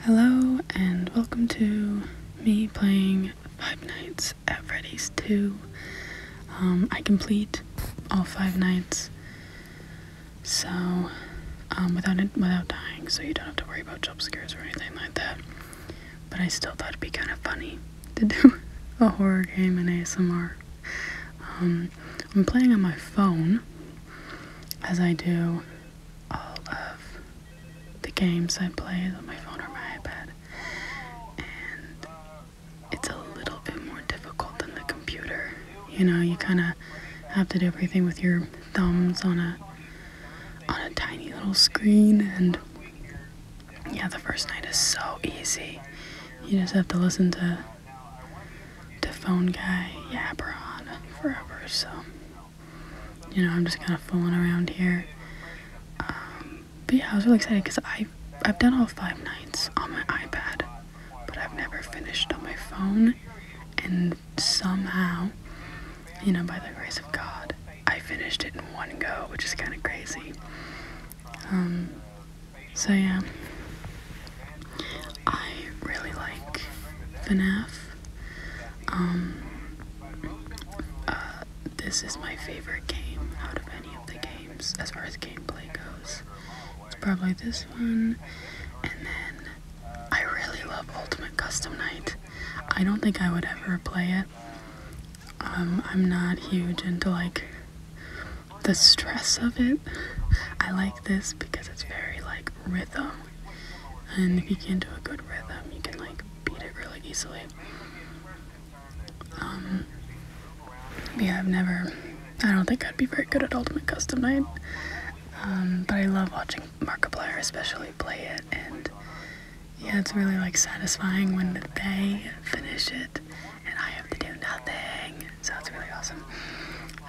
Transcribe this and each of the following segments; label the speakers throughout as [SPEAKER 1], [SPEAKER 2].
[SPEAKER 1] Hello and welcome to me playing Five Nights at Freddy's 2. Um, I complete all five nights, so um, without without dying, so you don't have to worry about jump scares or anything like that. But I still thought it'd be kind of funny to do a horror game in ASMR. Um, I'm playing on my phone, as I do all of the games I play on my phone or my iPad, and it's a little bit more difficult than the computer. You know, you kind of have to do everything with your thumbs on a on a tiny little screen, and yeah, the first night is so easy. You just have to listen to to phone guy Yeah, yabber on forever. So you know, I'm just kind of fooling around here. Um, but yeah, I was really excited because I've, I've done all five nights on my iPad, but I've never finished on my phone. And somehow, you know, by the grace of God, I finished it in one go, which is kind of crazy. Um, so yeah, I really like FNAF. Um, uh, this is my favorite game out of any of the games as far as gameplay goes. It's probably this one. And then I really love Ultimate Custom Night. I don't think I would ever play it. Um, I'm not huge into like the stress of it. I like this because it's very like rhythm and if you can do a good rhythm, you can like beat it really easily. Um, yeah, I've never. I don't think I'd be very good at Ultimate Custom Night, um, but I love watching Markiplier, especially play it, and yeah, it's really like satisfying when they finish it and I have to do nothing. So it's really awesome.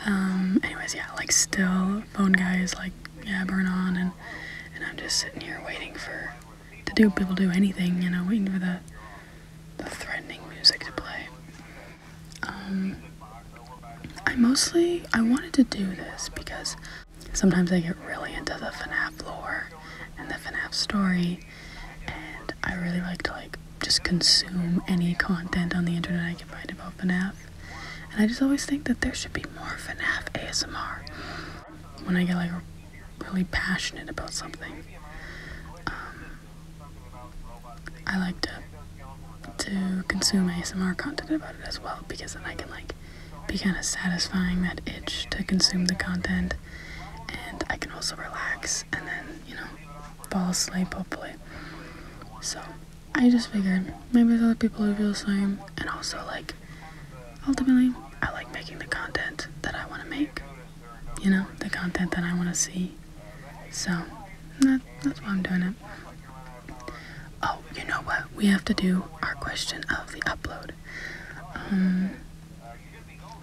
[SPEAKER 1] Um, anyways, yeah, like still, Phone guys like yeah, burn on, and, and I'm just sitting here waiting for to do people do anything, you know, waiting for the the threatening music to play. Um, I mostly I wanted to do this because sometimes I get really into the FNAF lore and the FNAF story, and I really like to like just consume any content on the internet I can find about FNAF. And I just always think that there should be more of FNAF ASMR when I get like really passionate about something. Um, I like to to consume ASMR content about it as well because then I can like be kind of satisfying that itch to consume the content and I can also relax and then you know fall asleep hopefully so I just figured maybe there's other people who feel the same, and also like ultimately I like making the content that I want to make, you know, the content that I want to see. So that's why I'm doing it. Oh, you know what? We have to do our question of the upload. Um,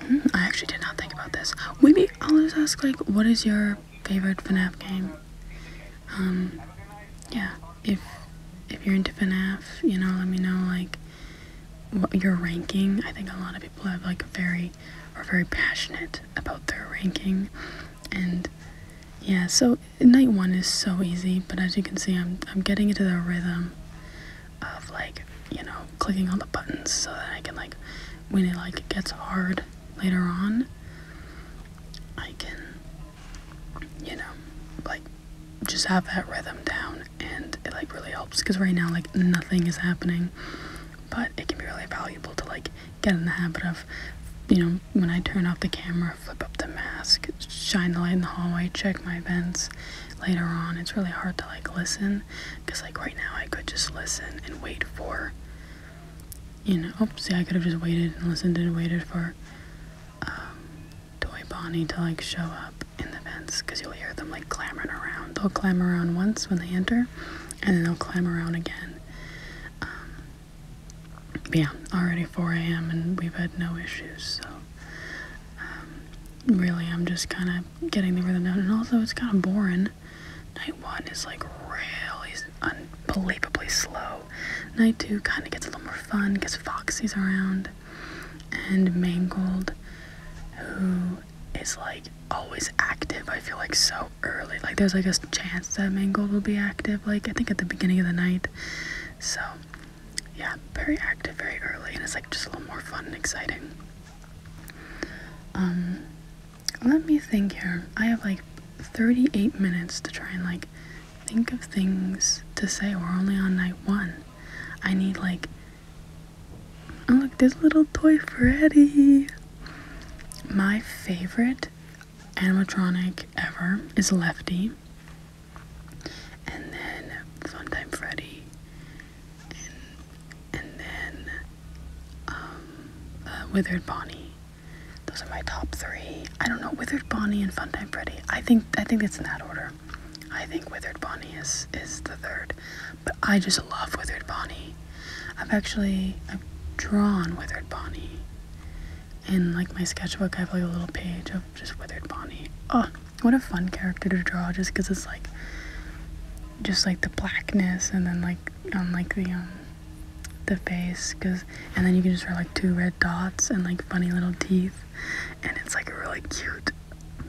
[SPEAKER 1] hmm, I actually did not think about this. Maybe I'll just ask like, what is your favorite FNAF game? Um, yeah, if if you're into FNAF, you know, let me know like what your ranking. I think a lot of people have like very are very passionate about their ranking, and yeah. So night one is so easy, but as you can see, I'm I'm getting into the rhythm of like you know clicking all the buttons so that I can like when it like gets hard later on, I can you know, like just have that rhythm down and it like really helps because right now like nothing is happening but it can be really valuable to like get in the habit of you know when i turn off the camera flip up the mask shine the light in the hallway check my vents. later on it's really hard to like listen because like right now i could just listen and wait for you know, oops, oh, see, I could have just waited and listened and waited for um, Toy Bonnie to like show up in the vents because you'll hear them like clamoring around. They'll clamor around once when they enter, and then they'll clamor around again. Um, yeah, already 4 a.m. and we've had no issues, so um, really, I'm just kind of getting the rhythm down. And also, it's kind of boring. Night one is like really unbelievably slow Night 2 kind of gets a little more fun because Foxy's around and Mangled, who is like always active, I feel like so early. Like there's like a chance that Mangled will be active, like I think at the beginning of the night. So yeah, very active, very early, and it's like just a little more fun and exciting. Um, let me think here. I have like 38 minutes to try and like Think of things to say. We're only on night one. I need, like, oh, look, this little toy Freddy. My favorite animatronic ever is Lefty. And then Funtime Freddy. And, and then um, uh, Withered Bonnie. Those are my top three. I don't know, Withered Bonnie and Funtime Freddy. I think I think it's in that order. I think Withered Bonnie is is the third. But I just love Withered Bonnie. I've actually I've drawn Withered Bonnie. In like my sketchbook I have like a little page of just Withered Bonnie. Oh, what a fun character to draw just because it's like just like the blackness and then like on the um the face because and then you can just wear like two red dots and like funny little teeth and it's like a really cute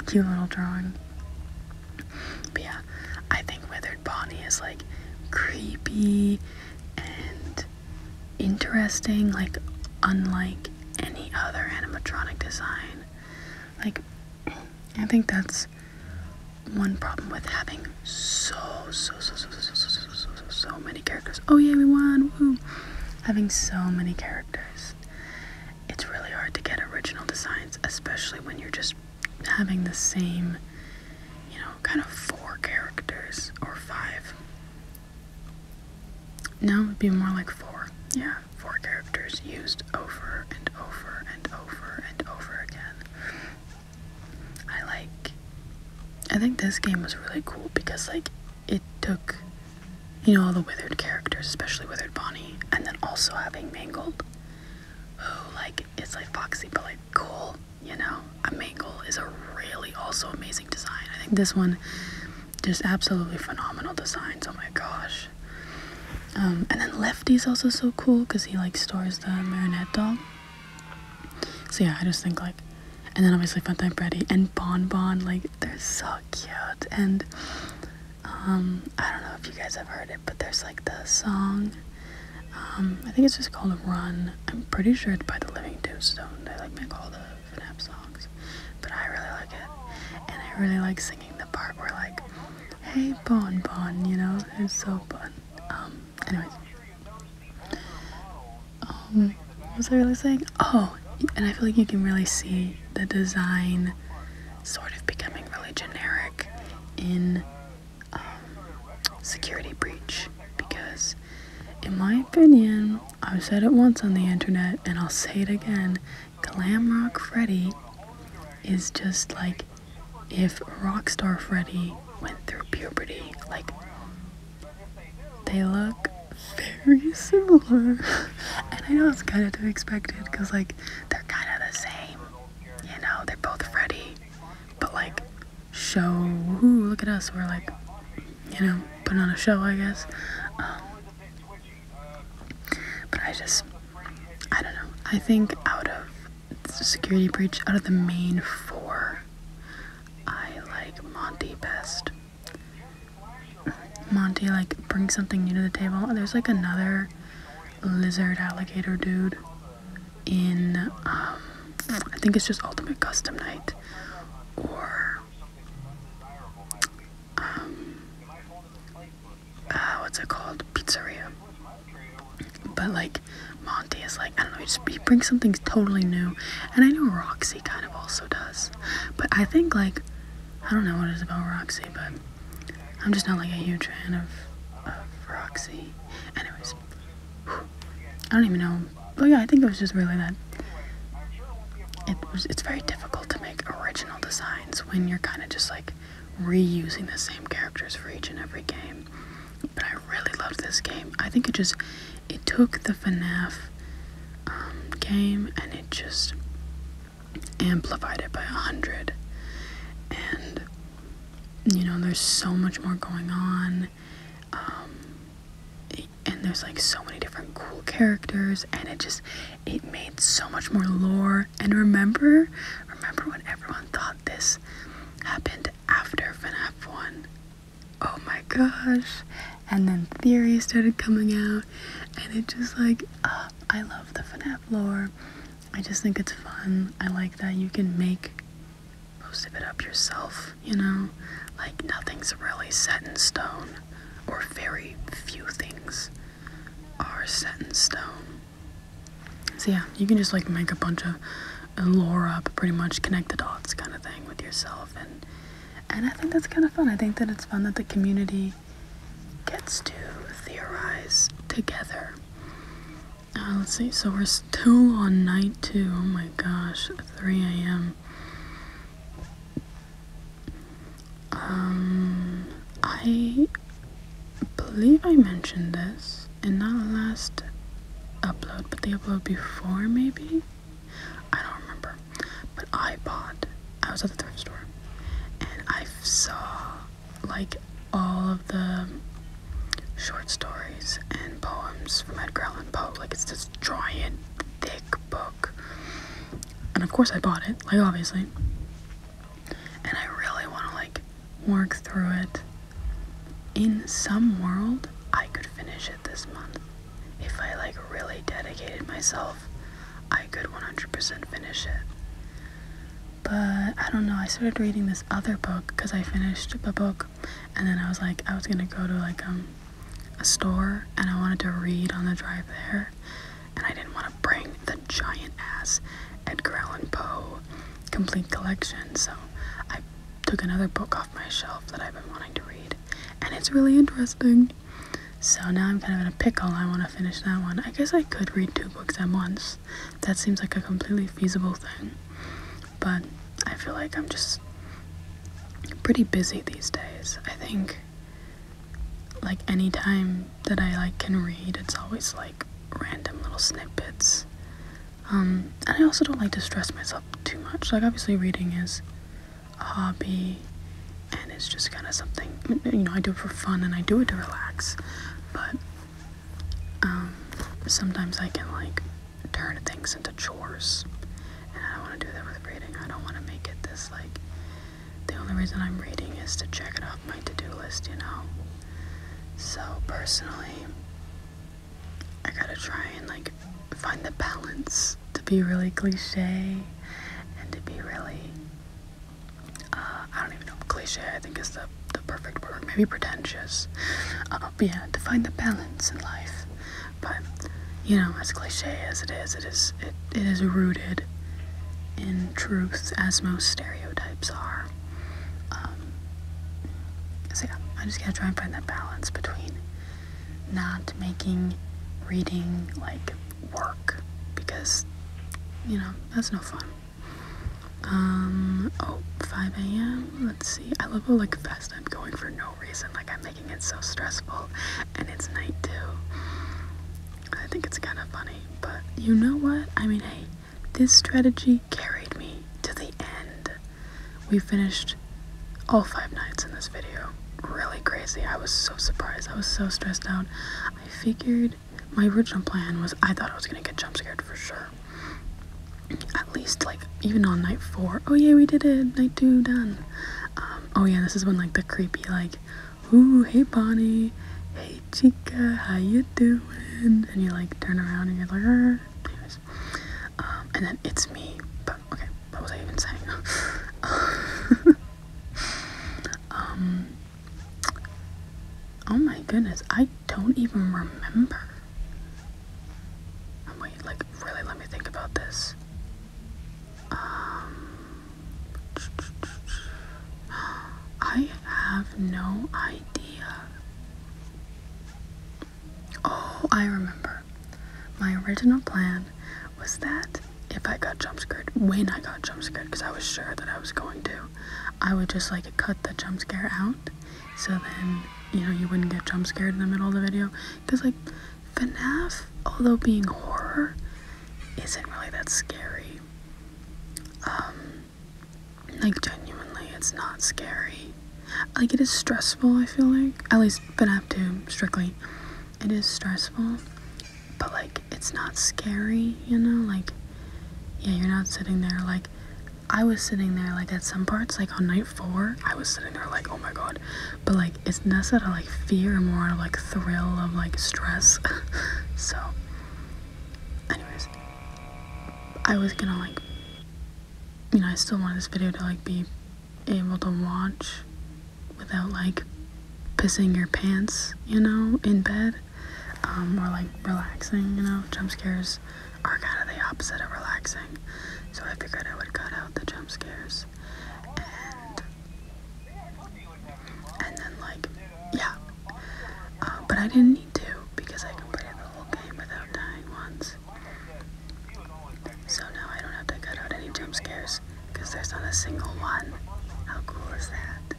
[SPEAKER 1] cute little drawing but yeah i think withered bonnie is like creepy and interesting like unlike any other animatronic design like i think that's one problem with having so so so so so so so so, so many characters. Oh yeah, we won! Woo! Having so many characters, it's really hard to get original designs, especially when you're just having the same, you know, kind of four characters or five. Now it'd be more like four. Yeah, four characters used over and over and over and over again. I like I think this game was really cool because like it took you know all the withered characters, especially withered Bonnie, and then also having Mangle, who like is like Foxy but like cool, you know. Mangle is a really also amazing design. I think this one just absolutely phenomenal designs. Oh my gosh. Um, and then Lefty's also so cool because he like stores the marionette doll. So yeah, I just think like, and then obviously Funtime Freddy and Bon Bon, like they're so cute. And um, I don't know if you guys have heard it, but there's like the song. Um, I think it's just called Run. I'm pretty sure it's by the Living Tombstone. They like make all the FNAF songs, but I really like it, and I really like singing the part where like, "Hey Bon Bon," you know, it's so fun. Um, anyways. Um, what was I really saying? Oh, and I feel like you can really see the design sort of becoming really generic in um, Security Breach because, in my opinion, I've said it once on the internet and I'll say it again Glam Rock Freddy is just like if Rockstar Freddy went through puberty, like they look very similar. And I know it's kind of to be expected because, like, they're kind of the same. You know, they're both Freddy. But, like, show. Ooh, look at us. We're, like, you know, putting on a show, I guess. Um, but I just, I don't know. I think out of Security Breach, out of the main four, I like Monty best. Monty like brings something new to the table. There's like another lizard alligator dude in um, I think it's just Ultimate Custom Night or um, uh, what's it called? Pizzeria. But like Monty is like, I don't know, he, brings something totally new. And I know Roxy kind of also does. But I think, like, I don't know what it is about Roxy, but I'm just not, like, a huge fan of, of Roxy. Anyways, whew, I don't even know. Oh yeah, I think it was just really that. It was, it's very difficult to make original designs when you're kind of just, like, reusing the same characters for each and every game. But I really loved this game. I think it just it took the FNAF um, game and it just amplified it by a hundred. And you know, there's so much more going on. Um, and there's like so many different cool characters, and it just it made so much more lore. And remember, remember when everyone thought this happened after FNAF one oh my gosh. And then theory started coming out, and it just like, uh, I love the FNAF lore. I just think it's fun. I like that you can make most of it up yourself, you know? Like, nothing's really set in stone, or very few things are set in stone. So, yeah, you can just like make a bunch of and lore up, pretty much connect the dots kind of thing with yourself. And, and I think that's kind of fun. I think that it's fun that the community gets to theorize together. Uh, let's see, so we're still on night two. Oh my gosh, 3 a.m. Um, I believe I mentioned this in not the last upload, but the upload before maybe? I don't remember. But I bought, I was at the thrift store, and I saw like all of the short stories and poems from Edgar Allan Poe. Like it's this giant, thick book. And of course I bought it, like obviously. And I really want to like work through it in some world, I could finish it this month. If I like really dedicated myself, I could 100% finish it. But I don't know, I started reading this other book because I finished the book and then I was like, I was gonna go to like um, a store and I wanted to read on the drive there and I didn't want to bring the giant ass Edgar Allan Poe complete collection, so I took another book off my shelf that I've been wanting to read, and it's really interesting. So now I'm kind of in a pickle. I want to finish that one. I guess I could read two books at once. That seems like a completely feasible thing. But I feel like I'm just pretty busy these days. I think like any time that I like can read, it's always like random little snippets um, and I also don't like to stress myself too much. Like, obviously, reading is a hobby and it's just kind of something, you know, I do it for fun and I do it to relax. But um, sometimes I can, like, turn things into chores. And I don't want to do that with reading. I don't want to make it this, like, the only reason I'm reading is to check it off my to do list, you know? So, personally, I gotta try and like find the balance to be really cliche and to be really uh, I don't even know cliche I think is the the perfect word maybe pretentious uh, but yeah to find the balance in life but you know as cliche as it is it is it, it is rooted in truth as most stereotypes are um, so yeah I just gotta try and find that balance between not making reading like work because you know that's no fun um 5 a.m let's see i love how like fast i'm going for no reason like i'm making it so stressful and it's night too i think it's kind of funny but you know what i mean hey this strategy carried me to the end we finished all five nights in this video. Really crazy. I was so surprised. I was so stressed out. I figured my original plan was I thought I was gonna get jump scared for sure. At least like even on night four. Oh yeah, we did it. Night two done. Um, oh yeah, this is when like the creepy like, ooh, hey Bonnie, hey Chica, how you doing? And you like turn around and you're like, um, and then it's me. But okay, what was I even saying? Um, oh my goodness, I don't even remember. Oh, wait, like really, let me think about this. Um, I have no idea. Oh, I remember. My original plan was that if I got jump scared, when I got jump scared, because I was sure that I was going to, I would just like cut the jump scare out, so then you know you wouldn't get jump scared in the middle of the video. Because like FNAF, although being horror, isn't really that scary. Um, like genuinely, it's not scary like it is stressful i feel like at least but FNAF to strictly it is stressful but like it's not scary you know like yeah you're not sitting there like i was sitting there like at some parts like on night four i was sitting there like oh my god but like it's less out of like fear more out of like thrill of like stress so anyways i was gonna like you know, I still want this video to like be able to watch without like pissing your pants, you know, in bed, um, or like relaxing, you know, jump scares are kind of the opposite of relaxing, so I figured I would cut out the jump scares, and, and then like, yeah, uh, but I didn't need to, because I completed the whole game without dying once, so now I don't have to cut out any jump scares because there's not a single one. How cool is that?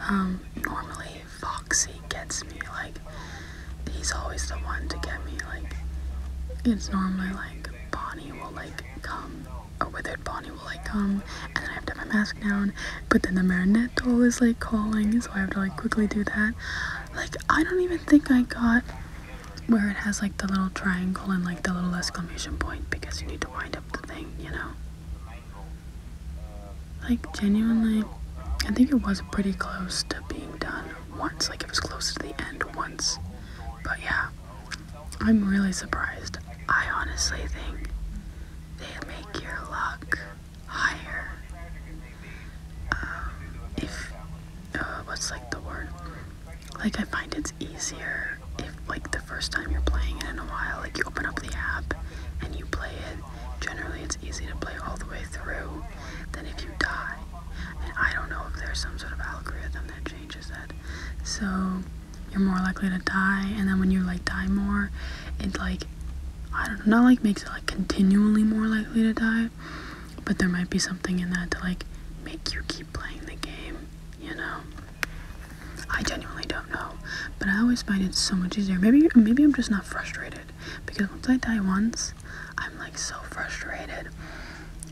[SPEAKER 1] Um, normally Foxy gets me, like, he's always the one to get me, like, it's normally like Bonnie will like come, or Withered Bonnie will like come, and then I have to have my mask down, but then the Marinette doll is like calling, so I have to like quickly do that. Like, I don't even think I got where it has like the little triangle and like the little exclamation point because you need to wind up the thing, you know? Like, genuinely, I think it was pretty close to being done once. Like, it was close to the end once. But yeah, I'm really surprised. I honestly think they make your luck higher um, if, uh, what's like the word? Like I find it's easier if like the first time you're playing it in a while, like you open up the app and you play it. Generally, it's easy to play all the way through than if you die. And I don't know if there's some sort of algorithm that changes that. So you're more likely to die, and then when you like die more, it like I don't know, not like makes it like continually more likely to die, but there might be something in that to like make you keep playing the game, you know. I genuinely don't know, but I always find it so much easier. Maybe maybe I'm just not frustrated because once I die once, I'm like so frustrated.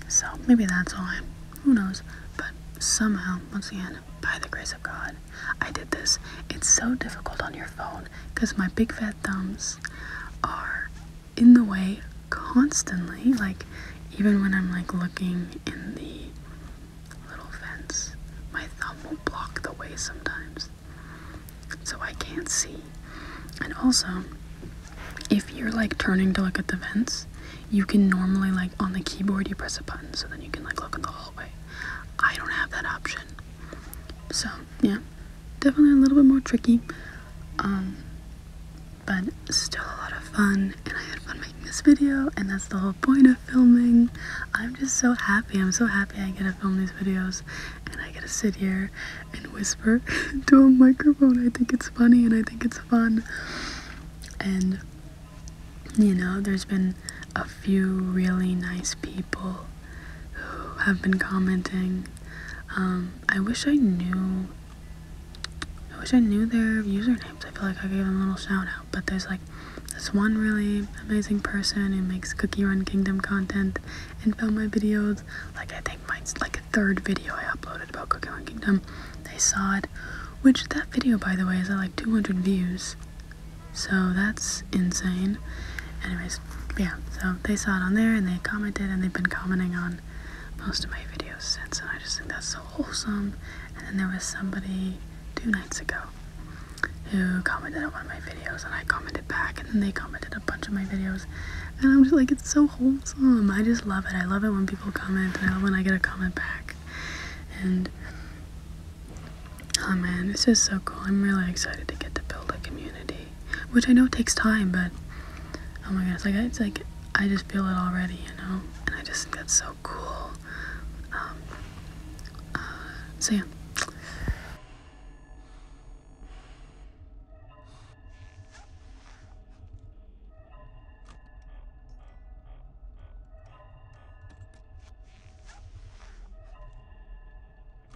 [SPEAKER 1] So maybe that's why. Who knows? But somehow, once again, by the grace of God, I did this. It's so difficult on your phone because my big fat thumbs are in the way constantly. Like, even when I'm like looking in the little vents, my thumb will block the way sometimes. So I can't see. And also, if you're like turning to look at the vents, you can normally like on the keyboard you press a button so then you can like look in the hallway. I don't have that option. So, yeah definitely a little bit more tricky. Um, but still a lot of fun, and I had fun making this video, and that's the whole point of filming. I'm just so happy. I'm so happy I get to film these videos, and I get to sit here and whisper to a microphone. I think it's funny, and I think it's fun. And, you know, there's been a few really nice people who have been commenting. Um, I wish I knew. I wish I knew their usernames. I feel like I gave them a little shout out. But there's like this one really amazing person who makes Cookie Run Kingdom content and found my videos. Like I think my like third video I uploaded about Cookie Run Kingdom. They saw it. Which that video by the way is at like 200 views. So that's insane. Anyways, yeah, so they saw it on there and they commented and they've been commenting on most of my videos since, and I just think that's so wholesome. And then there was somebody two nights ago who commented on one of my videos, and I commented back, and then they commented a bunch of my videos. And I'm just like, it's so wholesome. I just love it. I love it when people comment, and I love when I get a comment back. And oh man, it's just so cool. I'm really excited to get to build a community which I know takes time, but oh my goodness, it's like I just feel it already, you know, and I just think that's so cool. Um, uh, so yeah.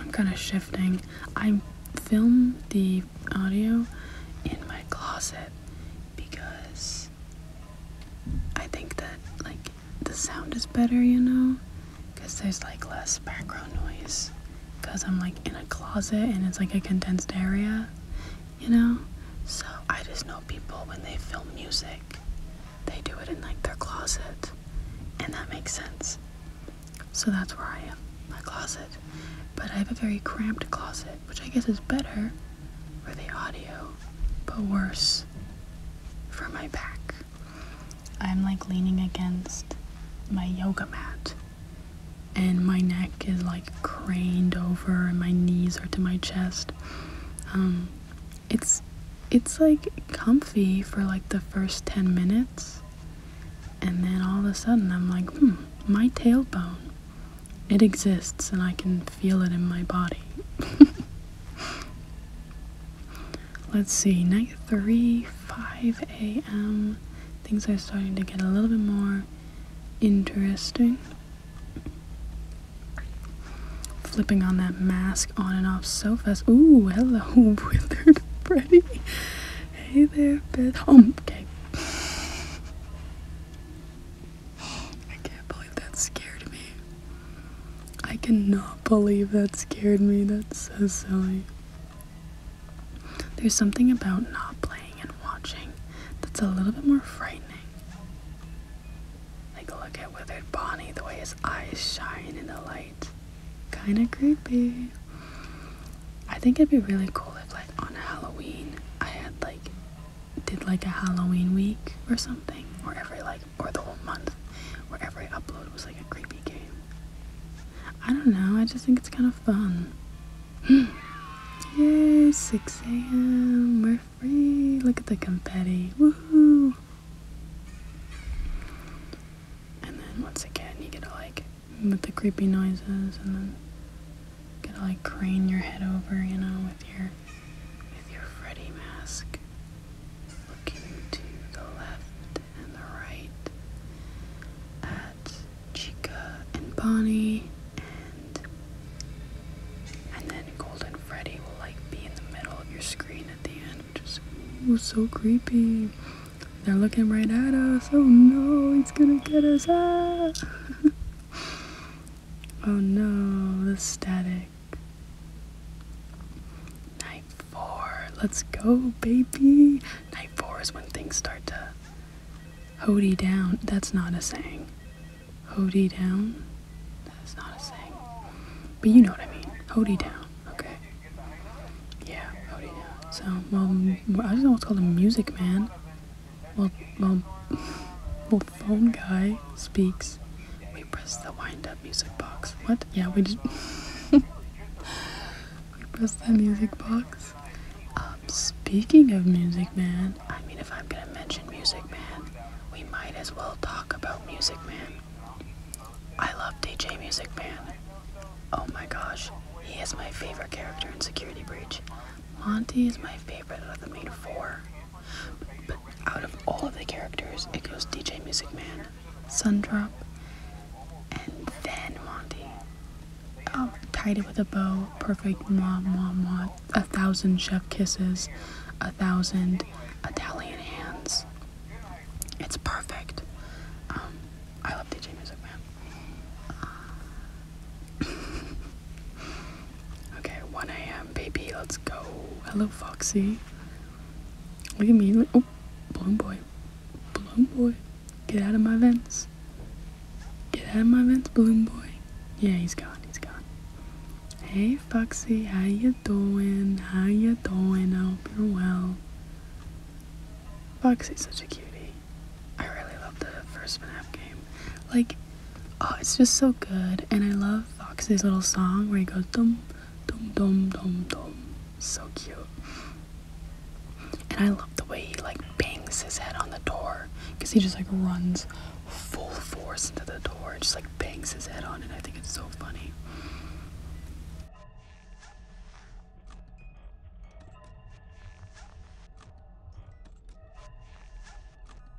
[SPEAKER 1] I'm kind of shifting. I film the audio in my closet because I think that like the sound is better, you know, because there's like less background noise. Because I'm like in a closet and it's like a condensed area, you know. So I just know people when they film music, they do it in like their closet, and that makes sense. So that's where I am, my closet. But I have a very cramped closet, which I guess is better for the audio, but worse for my back. I'm like leaning against my yoga mat, and my neck is like craned over, and my knees are to my chest. Um, it's it's like comfy for like the first 10 minutes, and then all of a sudden I'm like, hmm, my tailbone. It exists, and I can feel it in my body. Let's see, night three, 5 a.m. Things are starting to get a little bit more interesting. Flipping on that mask on and off so fast. Ooh, hello, Withered Freddy. Hey there, bed. Oh, um, okay. I can't believe that scared me. I cannot believe that scared me. That's so silly. There's something about not playing and watching that's a little bit more frightening. Like, look at Withered Bonnie, the way his eyes shine in the light. Kinda creepy. I think it'd be really cool if, like, on Halloween, I had, like, did, like, a Halloween week or something, or every, like, or the whole month where every upload was like a creepy game. I don't know, I just think it's kind of fun. Yay, 6 a.m. We're free. Look at the confetti. Woohoo! And then once again, you get to like, with the creepy noises, and then you get to like crane your head over, you know, with your with your Freddy mask, looking to the left and the right at Chica and Bonnie, and and then Golden Freddy will like be in the middle of your screen at the end, which is so creepy. They're looking right at us. Oh no, he's gonna get us! Ah. Oh no, the static. Night four. Let's go, baby. Night four is when things start to Hody down. That's not a saying. Hody down? That's not a saying. But you know what I mean. Hody down. Okay. Yeah, So, well, I don't know what's called a music man. Well, well, well, phone guy speaks. We press the wind up music box. What? Yeah, we did. we press the music box. Um, speaking of Music Man, I mean, if I'm gonna mention Music Man, we might as well talk about Music Man. I love DJ Music Man. Oh my gosh, he is my favorite character in Security Breach. Monty is my favorite of the main four. Out of all of the characters, it goes DJ Music Man, Sundrop, and then Monty. Oh, tied it with a bow, perfect, mwah, mwah, mwah, a thousand chef kisses, a thousand Italian hands. It's perfect. Um, I love DJ Music Man. Uh, Okay, 1 a.m. Baby, let's go. Hello, Foxy. Look at me. Look. Oh, balloon boy. Bloom boy. Get out of my vents. Get out of my vents, Bloom boy. Yeah, he's gone. He's gone. Hey, Foxy. How you doing? How you doing? I hope you're well. Foxy's such a cutie. I really love the first FNAF game. Like, Oh, it's just so good. And I love Foxy's little song where he goes dum dum dum dum dum. So cute. And I love the way he like bangs his head on the door because he just like runs full force into the door, and just like bangs his head on it. I think it's so funny.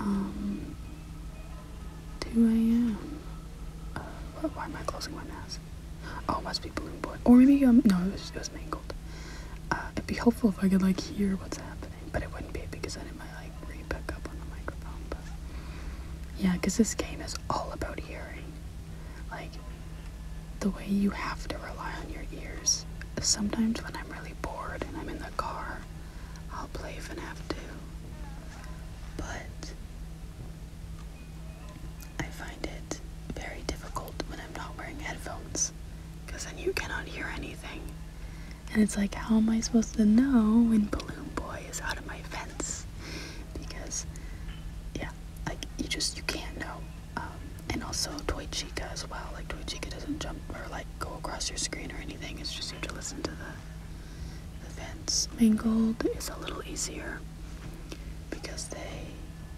[SPEAKER 1] Um, 2 a.m. Uh, why am I closing my mask? Oh, must be Balloon Boy. Or maybe, um, no, it was, Mangled. Uh, it'd be helpful if I could, like, hear what's happening but it wouldn't be because then it might like re-pick up on the microphone. But yeah, because this game is all about hearing. Like the way you have to rely on your ears. Sometimes when I'm really bored and I'm in the car, I'll play if I have to. But I find it very difficult when I'm not wearing headphones because then you cannot hear anything. And it's like, how am I supposed to know when Balloon Boy is out of my fence? Because, yeah, like, you just, you can't know. Um, and also Toy Chica as well. Like, Toy Chica doesn't jump or, like, go across your screen or anything. It's just you have to listen to the, the fence. Mangled is a little easier because they,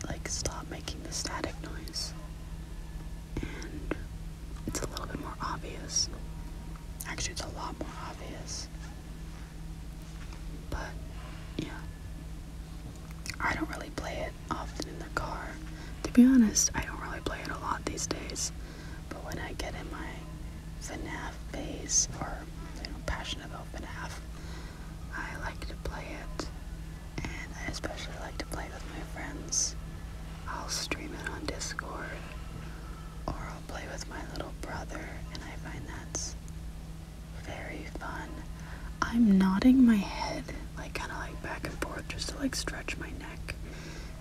[SPEAKER 1] like, stop making the static noise it's a little bit more obvious. Actually, it's a lot more obvious. But, yeah. I don't really play it often in the car. To be honest, I don't really play it a lot these days. But when I get in my FNAF phase, or, you know, passionate about FNAF, I like to play it. And I especially like to play with my friends. I'll stream it on Discord, or play with my little brother, and I find that's very fun. I'm nodding my head, like kind of like back and forth, just to like stretch my neck,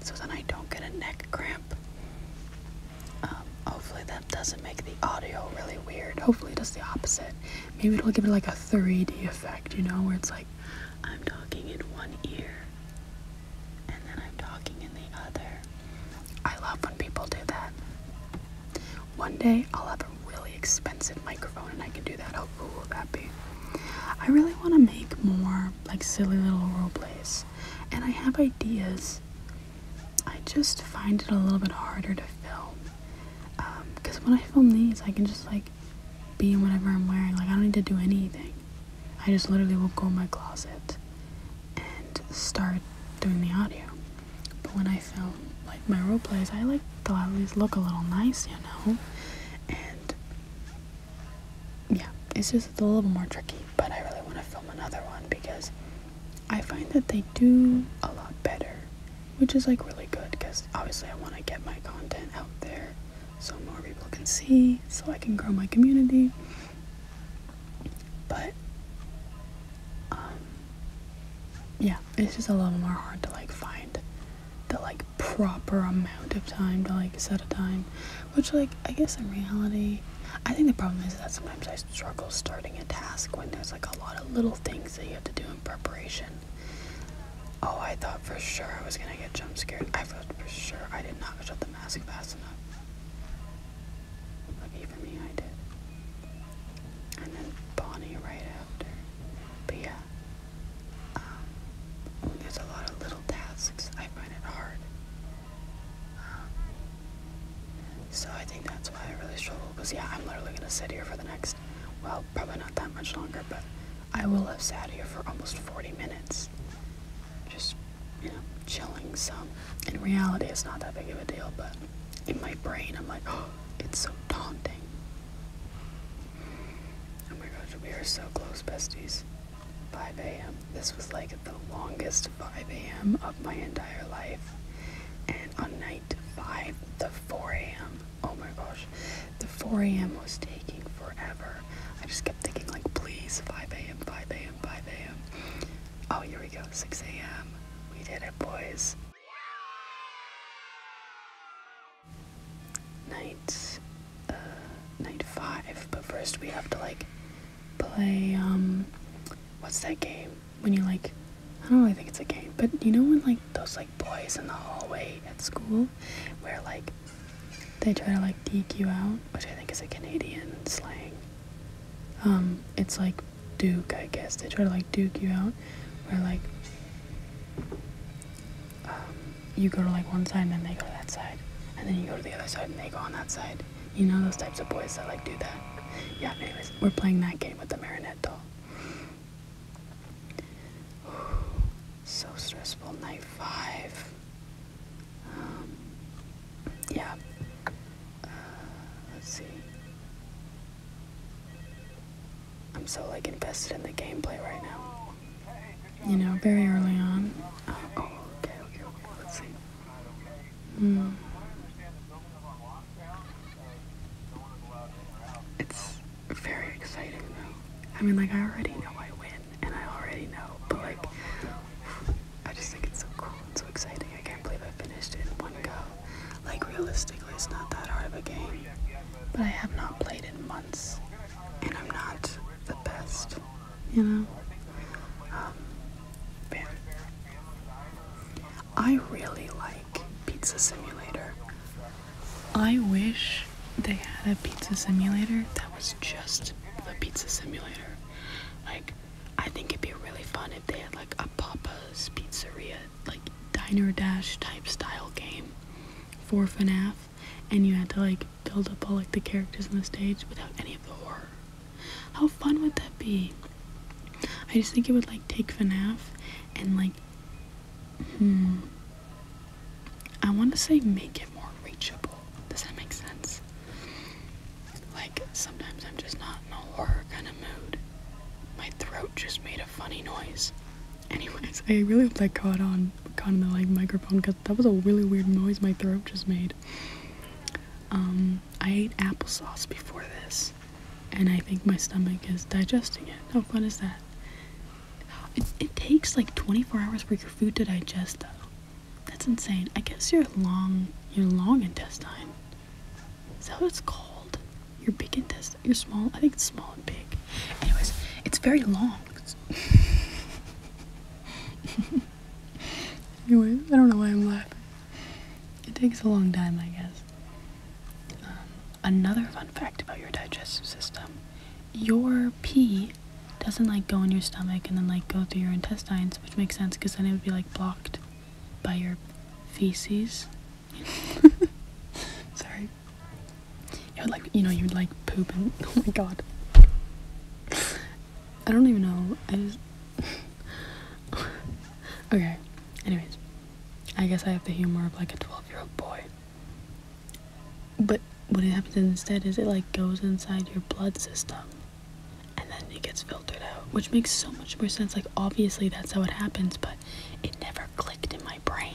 [SPEAKER 1] so then I don't get a neck cramp. Um, hopefully that doesn't make the audio really weird. Hopefully it does the opposite. Maybe it'll give it like a 3D effect, you know, where it's like I'm talking in one ear and then I'm talking in the other. I love when people do that. One day I'll have a really expensive microphone and I can do that. How cool will that be? I really want to make more like silly little role plays, and I have ideas. I just find it a little bit harder to film because um, when I film these, I can just like be in whatever I'm wearing. Like I don't need to do anything. I just literally will go in my closet and start doing the audio. But when I film like my role plays, I like though at least look a little nice, you know? And yeah, it's just a little more tricky, but I really want to film another one because I find that they do a lot better, which is like really good because obviously I want to get my content out there so more people can see, so I can grow my community. But um, yeah, it's just a little more hard to like find the like proper amount of time to like set a time. Which like I guess in reality I think the problem is that sometimes I struggle starting a task when there's like a lot of little things that you have to do in preparation. Oh, I thought for sure I was gonna get jumpscared. I felt for sure I did not shut the mask fast enough. Lucky for me, I did. And then Bonnie right after. But yeah, um, there's a lot of little tasks. I find it hard. Um, so I think that's why I really struggle. Because yeah, I'm literally gonna sit here for the next. Well, probably not that much longer, but I will have sat here for almost 40 minutes just you know chilling some. In reality, it's not that big of a deal, but in my brain, I'm like, oh, it's so daunting. Oh my gosh, we are so close, besties. 5 a.m. This was like the longest 5 a.m. of my entire life. And on night 5, the 4 a.m. Oh my gosh, the 4 a.m. was taking forever. I just kept thinking, like, please, 5 a.m., 5 a.m. 5 a.m. Oh, here we go, 6 a.m. We did it, boys. Night, uh, night five. But first, we have to like play. Um, what's that game? When you like, I don't really think it's a game, but you know when like those like boys in the hallway at school, where like they try to like duke you out, which I think is a Canadian slang. Um, it's like duke, I guess. They try to like duke you out, where like um, you go to like one side and then they go to that side, and then you go to the other side and they go on that side. You know those types of boys that like do that. Yeah. Anyways, we're playing that game with the marionette doll. so stressful. Night five. Um, yeah. Uh, let's see. I'm so like invested in the gameplay right now. You know, very early on. Oh, oh okay, okay, okay. Let's see. Hmm. It's very exciting though. I mean, like I already know I win and I already know, but like, I just think it's so cool and so exciting. I can't believe I finished it in one go. Like, realistically, it's not that hard of a game, but I have not played in months, and I'm not the best, you know? Um, I really like Pizza Simulator. I wish they had a pizza simulator that was just the pizza simulator. Like, I think it'd be really fun if they had like a Papa's Pizzeria, like Diner Dash type style game for FNAF, and you had to like build up all like the characters on the stage without any of the horror. How fun would that be? I just think it would like take FNAF and like, hmm, I want to say make it more reachable. Does that make sense? Like, sometimes I'm just not in a horror kind of mood. My throat just made a funny noise. Anyways, I really hope that caught on, caught on the like microphone because that was a really weird noise my throat just made. Um, I ate applesauce before this, and I think my stomach is digesting it. How fun is that? it takes like 24 hours for your food to digest, though. That's insane. I guess your long your long intestine. Is that what it's called? Your big intestine. Your small. I think it's small and big. Anyways, it's very long. Anyways, I don't know why I'm laughing. It takes a long time, I guess. Um, another fun fact about your digestive system: your pee it doesn't like go in your stomach and then like go through your intestines, which makes sense because then it would be like blocked by your feces. Sorry. you would like you know you would like poop and oh my god. I don't even know. I just okay. Anyways, I guess I have the humor of like a twelve-year-old boy. But what happens instead is it like goes inside your blood system and then it gets filtered out, which makes so much more sense. Like, obviously, that's how it happens, but it never clicked in my brain.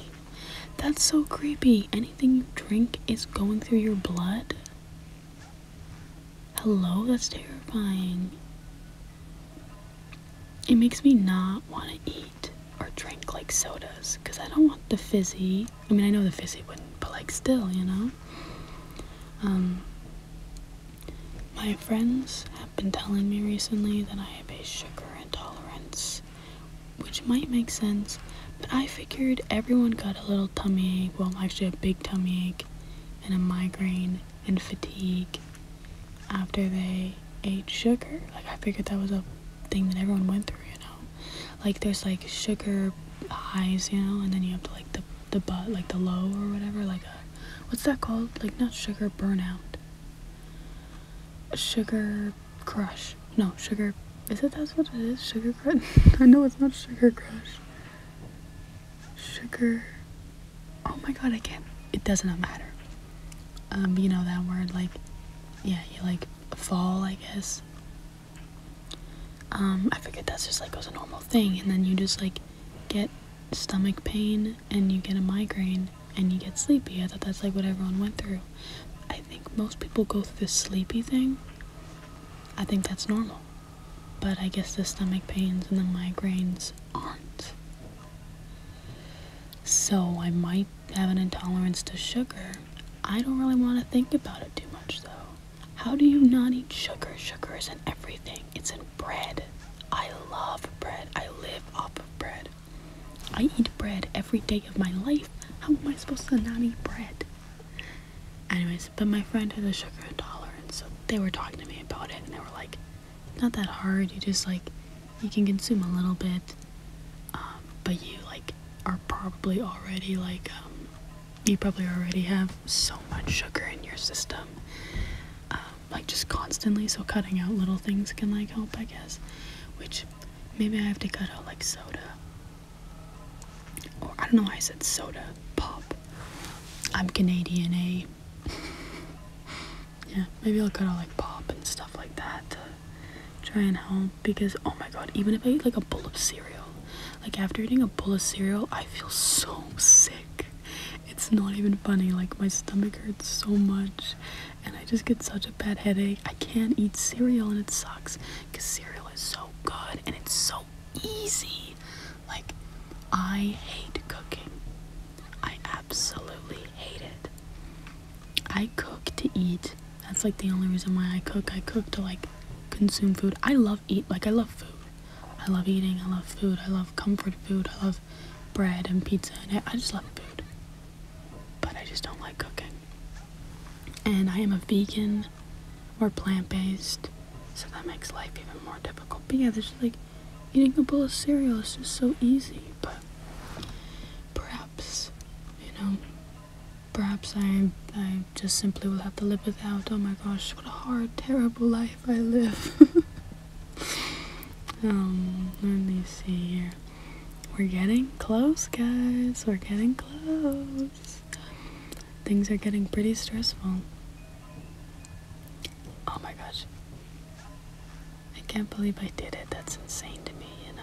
[SPEAKER 1] That's so creepy. Anything you drink is going through your blood. Hello, that's terrifying. It makes me not want to eat or drink like sodas because I don't want the fizzy I mean, I know the fizzy wouldn't, but like still, you know? Um, my friends have been telling me recently that I have a sugar intolerance, which might make sense, but I figured everyone got a little tummy ache, well, actually, a big tummy ache, and a migraine, and fatigue after they ate sugar. Like, I figured that was a thing that everyone went through, you know? like there's like sugar highs, you know, and then you have to like the the but like the low or whatever, like what's that called? Like not sugar burnout. Sugar crush. No, sugar is it that's what it is? Sugar crush? I know it's not sugar crush. Sugar Oh my god, I can't it does not matter. Um, you know that word like yeah, you like fall I guess. Um, I forget that's just like was a normal thing, and then you just like get stomach pain and you get a migraine and you get sleepy. I thought that's like what everyone went through. I think most people go through this sleepy thing. I think that's normal. But I guess the stomach pains and the migraines aren't. So I might have an intolerance to sugar. I don't really want to think about it too much though. How do you not eat sugar? Sugar is in everything. It's in bread. I love bread. I live off of bread. I eat bread every day of my life. How am I supposed to not eat bread? Anyways, but my friend had a sugar intolerance, so they were talking to me about it and they were like, not that hard. You just like, you can consume a little bit, um, but you like are probably already like um, you probably already have so much sugar in your system. Um, like just constantly, so cutting out little things can like help, I guess. Which maybe I have to cut out like soda. Or I don't know why I said soda, pop. I'm Canadian, eh? a yeah, maybe I'll cut out like pop and stuff like that to try and help because oh my god, even if I eat like a bowl of cereal, like after eating a bowl of cereal, I feel so sick. It's not even funny. Like my stomach hurts so much and I just get such a bad headache. I can't eat cereal and it sucks cuz cereal is so good and it's so easy. Like I hate cooking. I absolutely hate it. I cook to eat. That's like the only reason why I cook. I cook to like consume food. I love eat like I love food. I love eating. I love food. I love comfort food. I love bread and pizza and I just love food. But I just don't like cooking. And I am a vegan or plant-based, so that makes life even more difficult. But yeah, there's like eating a bowl of cereal is just so easy. But perhaps you know Perhaps I, I just simply will have to live without. Oh my gosh, what a hard, terrible life I live. um, let me see here. We're getting close, guys. We're getting close. Things are getting pretty stressful. Oh my gosh. I can't believe I did it. That's insane to me, you know.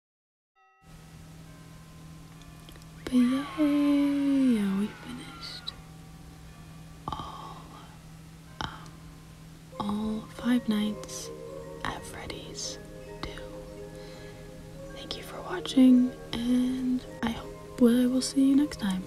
[SPEAKER 1] But yeah, we finished all, all five nights at Freddy's Thank you for watching, and I hope I will see you next time.